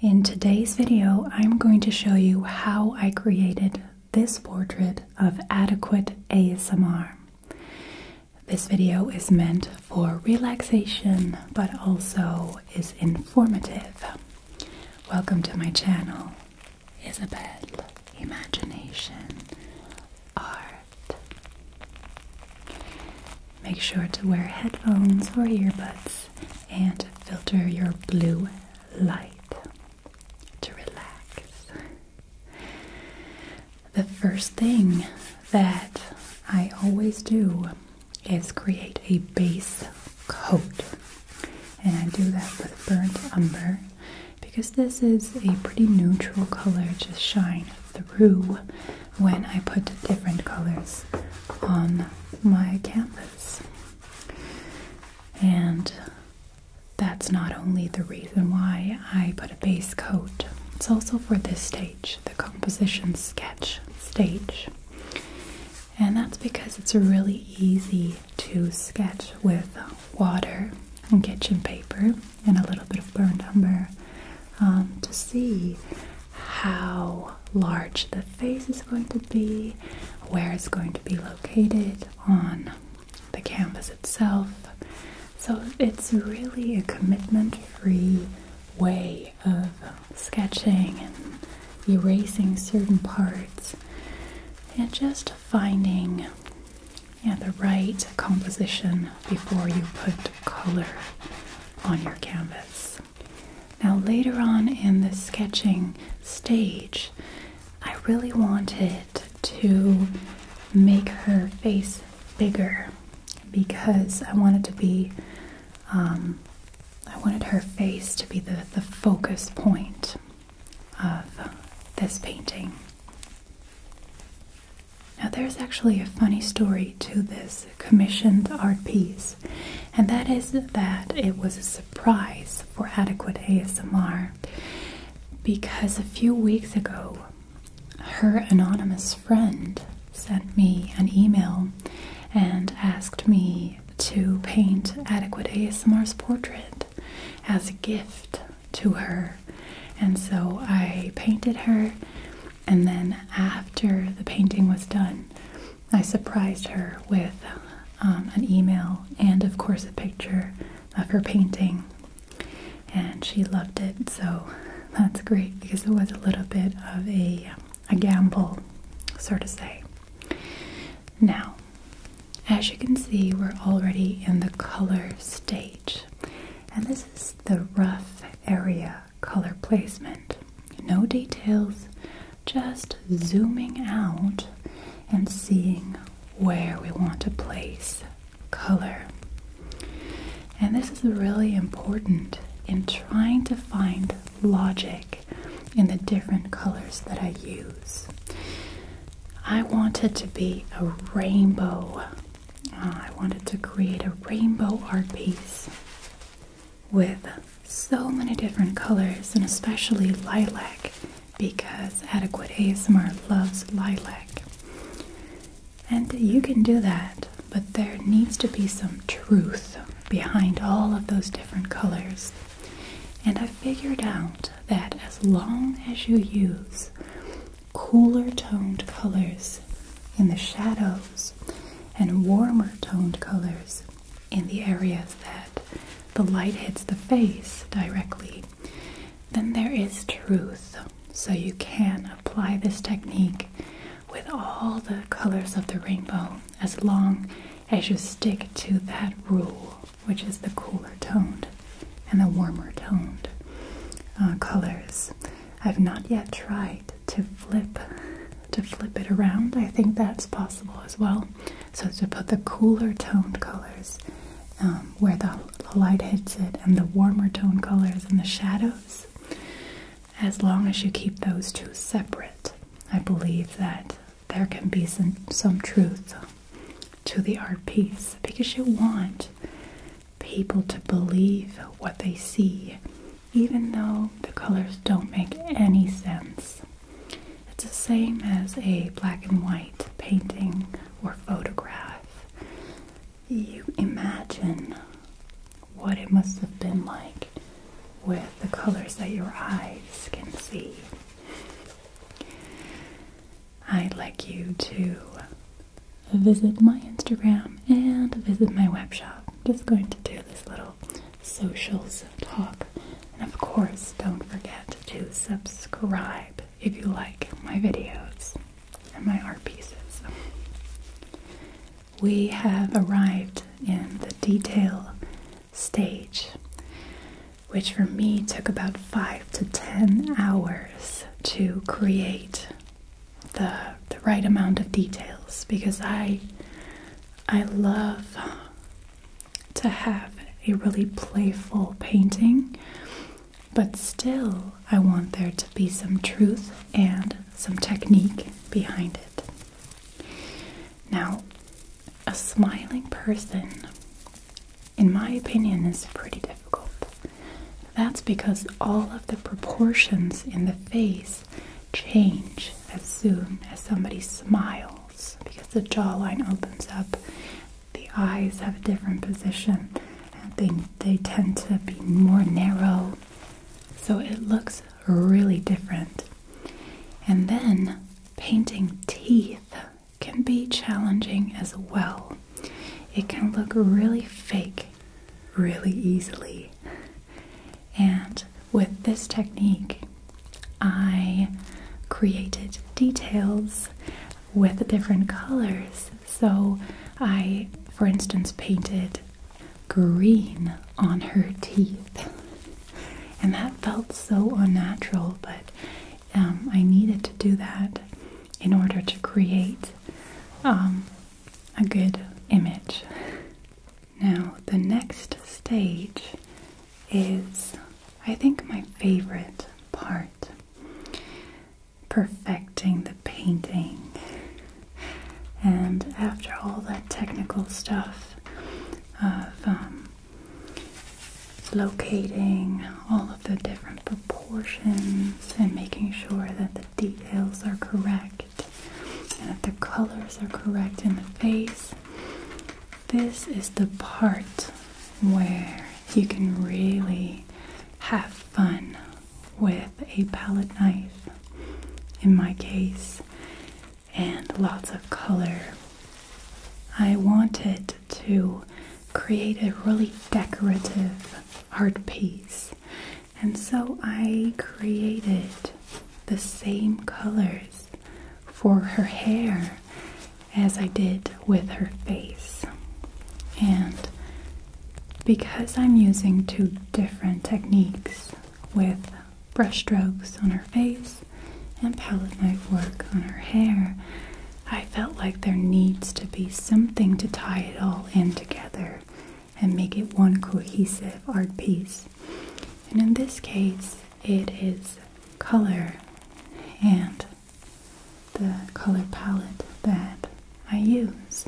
In today's video, I'm going to show you how I created this portrait of adequate ASMR. This video is meant for relaxation, but also is informative. Welcome to my channel, Isabelle Imagination Art. Make sure to wear headphones or earbuds and filter your blue light to relax. The first thing that I always do is create a base coat. And I do that with burnt umber because this is a pretty neutral color just shine through when I put different colors on my canvas. And that's not only the reason why I put a base coat, it's also for this stage, the composition sketch stage. And that's because it's really easy to sketch with water and kitchen paper and a little bit of burnt umber um, to see how large the face is going to be, where it's going to be located on the canvas itself. So it's really a commitment free way of sketching and erasing certain parts and just finding yeah, the right composition before you put color on your canvas. Now, later on in the sketching stage, I really wanted to make her face bigger because I wanted to be, um, I wanted her face to be the, the focus point of this painting. Now, there's actually a funny story to this commissioned art piece, and that is that it was a surprise for Adequate ASMR because a few weeks ago, her anonymous friend sent me an email and asked me to paint Adequate ASMR's portrait as a gift to her. And so I painted her and then after the painting was done, I surprised her with um, an email and, of course, a picture of her painting. And she loved it, so that's great because it was a little bit of a, a gamble, so to say. Now, as you can see, we're already in the color stage. And this is the rough area color placement. No details, just zooming out and seeing where we want to place color. And this is really important in trying to find logic in the different colors that I use. I wanted to be a rainbow uh, I wanted to create a rainbow art piece with so many different colors and especially lilac because Adequate ASMR loves lilac. And you can do that, but there needs to be some truth behind all of those different colors. And I figured out that as long as you use cooler toned colors in the shadows and warmer toned colors in the areas that the light hits the face directly, then there is truth. So you can apply this technique with all the colors of the rainbow as long as you stick to that rule, which is the cooler toned and the warmer toned uh, colors. I've not yet tried to flip to flip it around. I think that's possible as well. So to put the cooler toned colors um, where the light hits it and the warmer tone colors in the shadows, as long as you keep those two separate, I believe that there can be some, some truth to the art piece because you want people to believe what they see, even though the colors don't make any sense. It's the same as a black and white painting or photograph. You imagine what it must have been like with the colors that your eyes can see. I'd like you to visit my Instagram and visit my web shop. I'm just going to do this little socials talk. And of course, don't forget to subscribe if you like my videos and my art pieces. We have arrived in the detail stage which for me took about five to ten hours to create the, the right amount of details because I, I love to have a really playful painting, but still, I want there to be some truth and some technique behind it. Now, a smiling person in my opinion, is pretty difficult. That's because all of the proportions in the face change as soon as somebody smiles because the jawline opens up, the eyes have a different position, and they, they tend to be more narrow. So it looks really different. And then painting teeth can be challenging as well. It can look really fake really easily. And with this technique, I created details with different colors. So I, for instance, painted green on her teeth. And that felt so unnatural, but um, I needed to do that in order to create um, a good image. Now, the next stage is, I think, my favorite part perfecting the painting. And after all that technical stuff of um, locating all of the different proportions and making sure that the details are correct and that the colors are correct in the face. This is the part where you can really have fun with a palette knife. In my case, and lots of color. I wanted to create a really decorative art piece, and so I created the same colors for her hair as I did with her face. And because I'm using two different techniques with brush strokes on her face and palette knife work on her hair, I felt like there needs to be something to tie it all in together and make it one cohesive art piece. And in this case, it is color and the color palette that I use.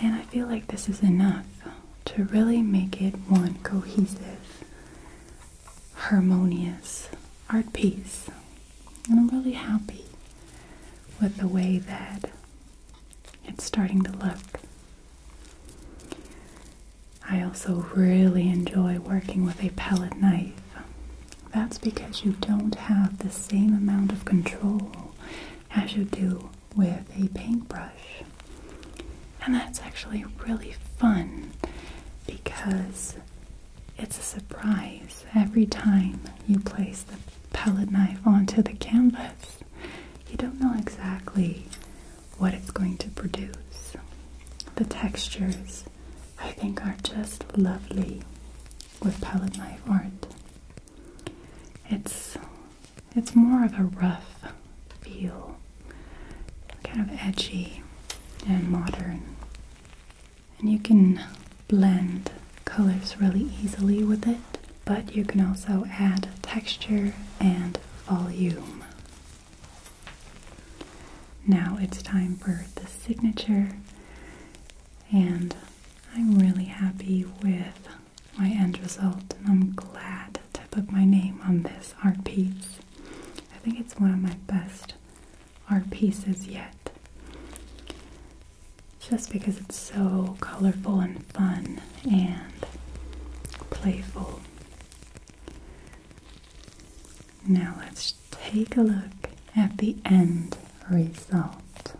And I feel like this is enough to really make it one cohesive harmonious art piece. And I'm really happy with the way that it's starting to look. I also really enjoy working with a pellet knife. That's because you don't have the same amount of control as you do with a paintbrush. And that's actually really fun because it's a surprise every time you place the palette knife onto the canvas. You don't know exactly what it's going to produce. The textures, I think, are just lovely with palette knife art. It's it's more of a rough feel, kind of edgy and modern. And you can blend colors really easily with it, but you can also add texture and volume. Now it's time for the signature, and I'm really happy with my end result, and I'm glad to put my name on this art piece. I think it's one of my best art pieces yet, just because it's so colorful and fun and playful. Now let's take a look at the end result,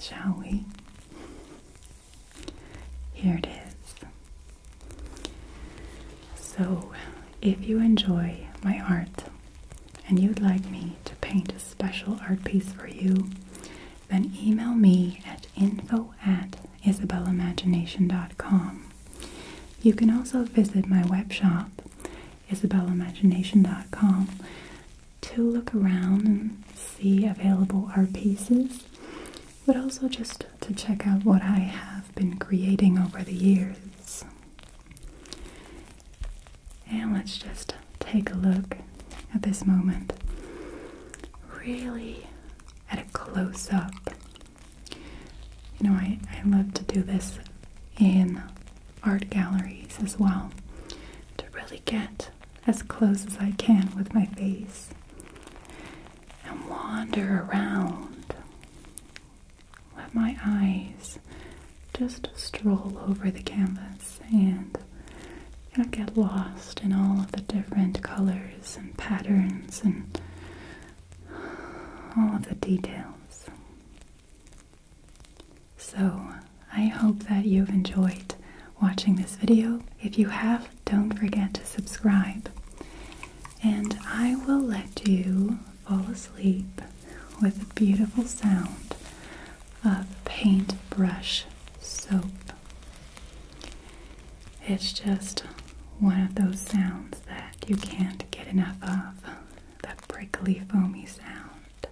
shall we? Here it is. So, if you enjoy my art and you'd like me to paint a special art piece for you, then email me at info at isabella'imagination.com. You can also visit my web shop, isabella'imagination.com, to look around and see available art pieces but also just to check out what I have been creating over the years. And let's just take a look at this moment, really at a close up. You know, I, I love to do this in art galleries as well to really get as close as I can with my face and wander around. Let my eyes just stroll over the canvas and get lost in all of the different colors and patterns and all of the details. So, I hope that you've enjoyed watching this video. If you have, don't forget to subscribe. And I will let you fall asleep with the beautiful sound of paintbrush soap. It's just one of those sounds that you can't get enough of. That prickly, foamy sound.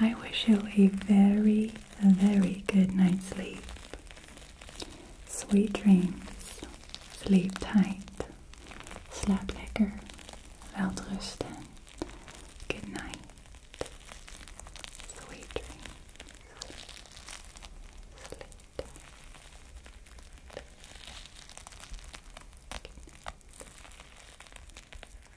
I wish you a very, very good night's sleep. Sweet dreams. Sleep tight. Sleep lekker. Welterusten. Good night. Sweet dreams. Sleep tight. Good night.